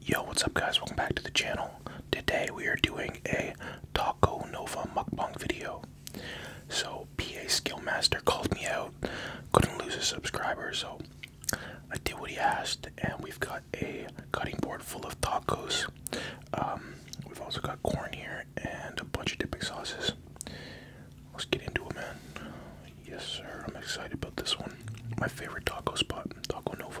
Yo, what's up guys? Welcome back to the channel. Today we are doing a Taco Nova mukbang video. So PA Skillmaster called me out, couldn't lose a subscriber, so I did what he asked, and we've got a cutting board full of tacos. Um, we've also got corn here and a bunch of dipping sauces. Let's get into it, man. Yes, sir. I'm excited about this one. My favorite taco spot, Taco Nova.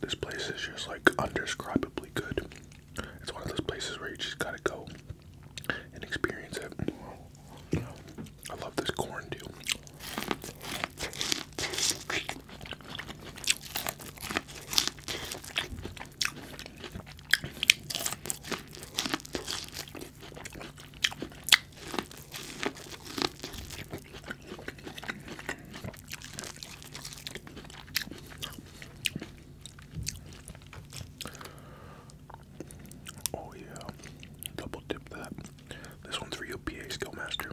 This place is just like undescribably good. It's one of those places where you just gotta go and experience it. I love this corn too. Oh yeah, double dip that. This one's for you, PA Skill Master.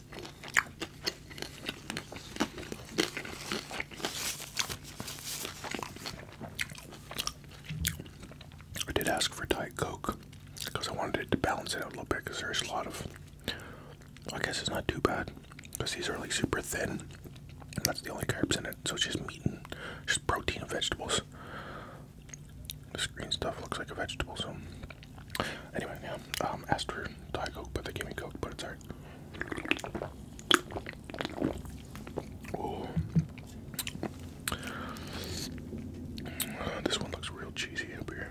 I did ask for Diet Coke because I wanted it to balance it out a little bit because there's a lot of. I guess it's not too bad because these are like super thin. And that's the only carbs in it, so it's just meat and just protein and vegetables. This green stuff looks like a vegetable, so Anyway, yeah, um, asked for Diet Coke, but they gave me Coke, but it's alright. this one looks real cheesy up here.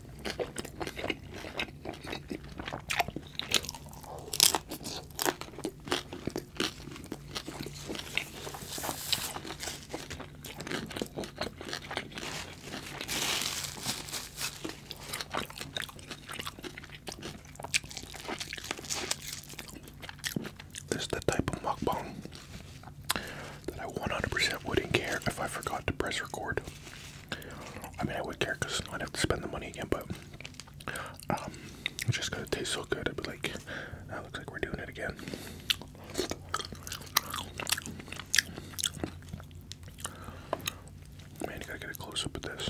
This is the type of mukbang that I 100% wouldn't care if I forgot to press record. I mean, I would care because I'd have to spend the money again, but um, it's just gonna taste so good. I'd be like, that looks like we're doing it again. Man, you gotta get a close of this.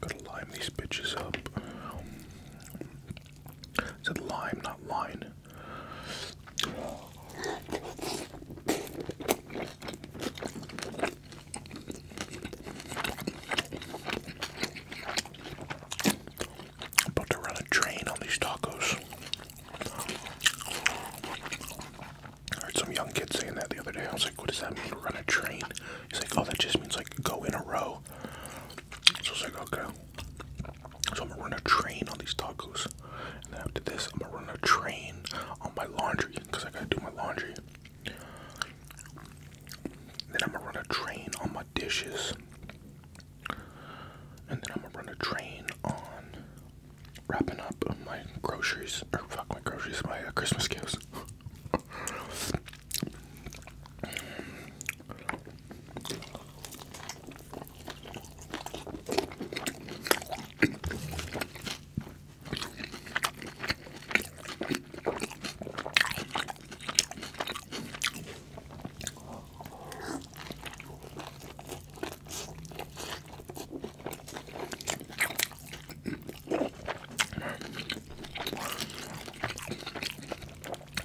Gotta lime these bitches up. It said lime, not line. I'm about to run a train on these tacos. I heard some young kid saying that the other day. I was like, what does that mean, run a train? He's like, oh, that just means like go in a row. So I was like, okay. So I'm gonna run a train on these tacos. And then after this, I'm gonna run a train on my laundry because I gotta do my laundry. Then I'm gonna run a train on my dishes. And then I'm gonna run a train on wrapping up my groceries, or fuck my groceries, my uh, Christmas gifts.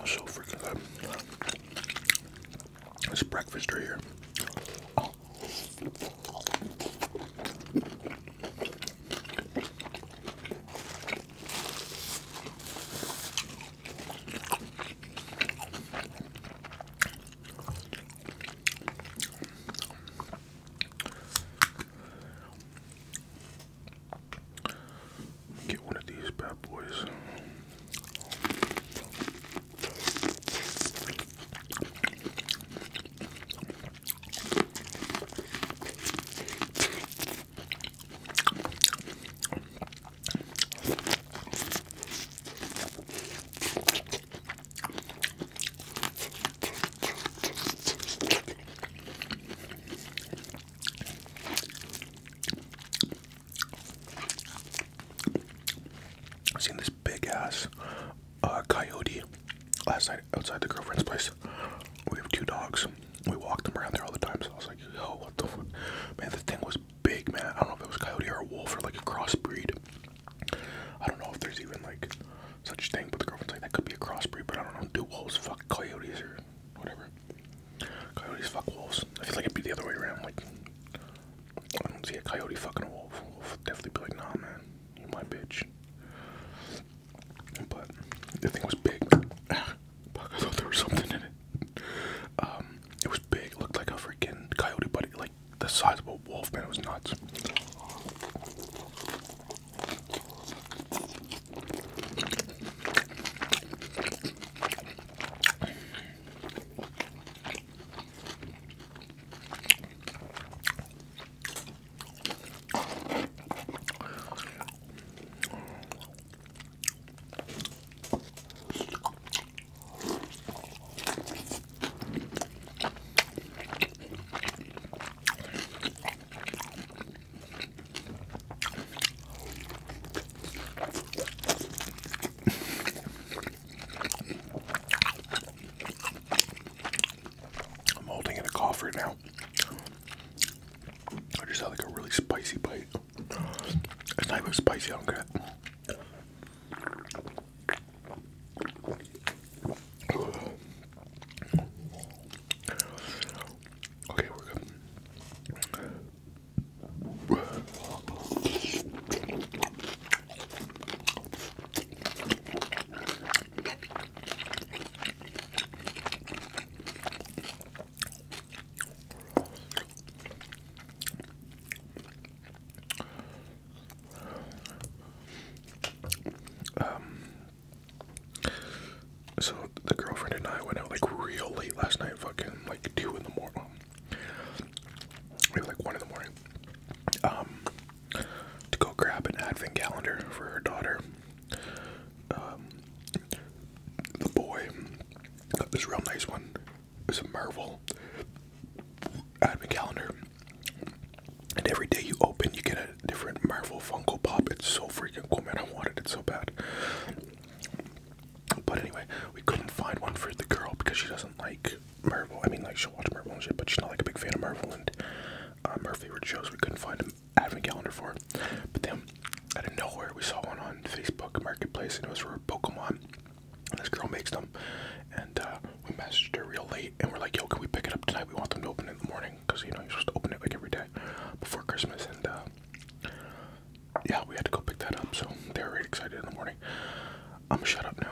So freaking good. Um, it's breakfast right here. Oh. Get one of these bad boys. I seen this big ass uh, coyote last night outside the girlfriend's place. We have two dogs. We walk them around there all the time. So I was like, Oh, what the fuck? Man, the thing was big, man. I don't know if it was coyote or a wolf or like a crossbreed. I don't know if there's even like such thing, but the girlfriend's like that could be a crossbreed. But I don't know. Do wolves fuck coyotes or whatever? Coyotes fuck wolves. I feel like it'd be the other way around. Like I don't see a coyote fucking a wolf. wolf definitely be like, nah, man, you my bitch. But the thing was big. Fuck, I thought there was something in it. Um, it was big. looked like a freaking coyote, buddy, like the size of a wolf, man. was nuts. I'm holding in a cough right now. I just had like a really spicy bite. It's not even spicy, I don't get it. Okay, we're good. Um, so the girlfriend and I went out like real late last night, fucking like two in the morning, maybe um, like one in the morning, um, to go grab an advent calendar for her daughter. Um, the boy got this real nice one. It's a Marvel advent calendar. And every day you open, you get a different Marvel Funko Pop. It's so freaking cool, man. I wanted it so bad. But anyway, we couldn't find one for the girl because she doesn't like Marvel. I mean, like, she'll watch Marvel and shit, but she's not like a big fan of Marvel. And um, her favorite shows, we couldn't find an advent calendar for her. But then, out of nowhere, we saw one on Facebook Marketplace, and it was for Pokemon. This girl makes them, and uh, we messaged her real late, and we're like, "Yo, can we pick it up tonight? We want them to open in the morning, cause you know you're supposed to open it like every day before Christmas." And uh, yeah, we had to go pick that up, so they were really excited in the morning. I'm gonna shut up now.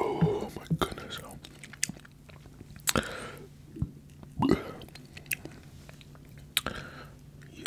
Oh my goodness. Yeah.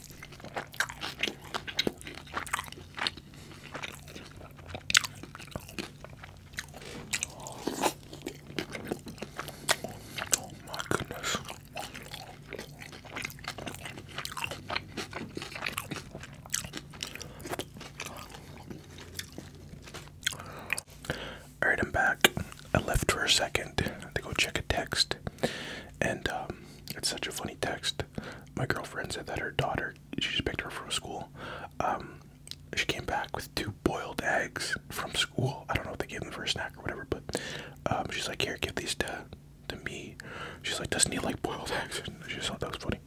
Oh my goodness. Alright, I'm back. I left for a second to go check a text. And um, it's such a funny text. My girlfriend said that her daughter, she just picked her from school. Um, she came back with two boiled eggs from school. I don't know if they gave them for a snack or whatever, but um, she's like, here, give these to to me. She's like, doesn't he like boiled eggs? And she just thought that was funny.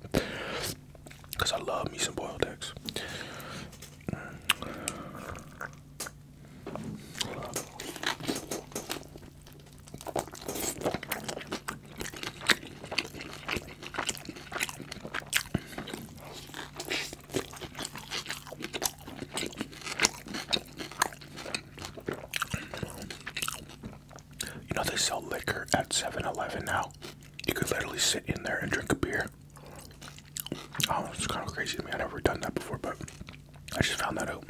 Cause I love me some boiled eggs. You know, they sell liquor at 7 Eleven now. You could literally sit in there and drink a beer. Oh, it's kind of crazy to me. I've never done that before, but I just found that out.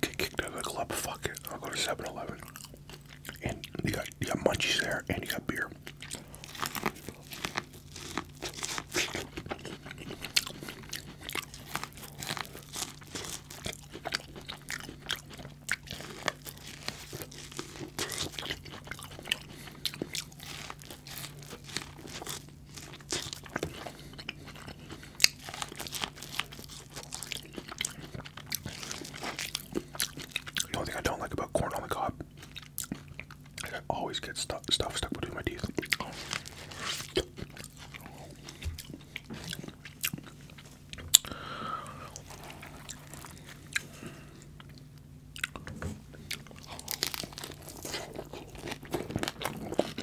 Get kicked out of the club. Fuck it. I'll go to 7-Eleven. And you got you got munchies there, and you got beer. The only thing I don't like about corn on the cob is I always get stuff stuck between my teeth.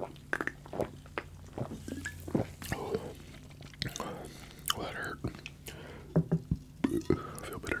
Oh, that hurt. I feel better.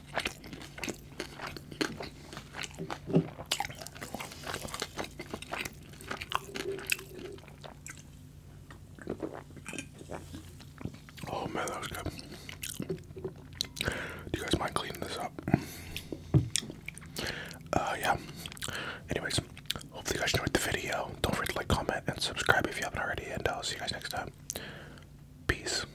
Oh man, that was good. Do you guys mind cleaning this up? Uh, yeah. Anyways, hopefully you guys enjoyed the video. Don't forget to like, comment, and subscribe if you haven't already. And I'll see you guys next time. Peace.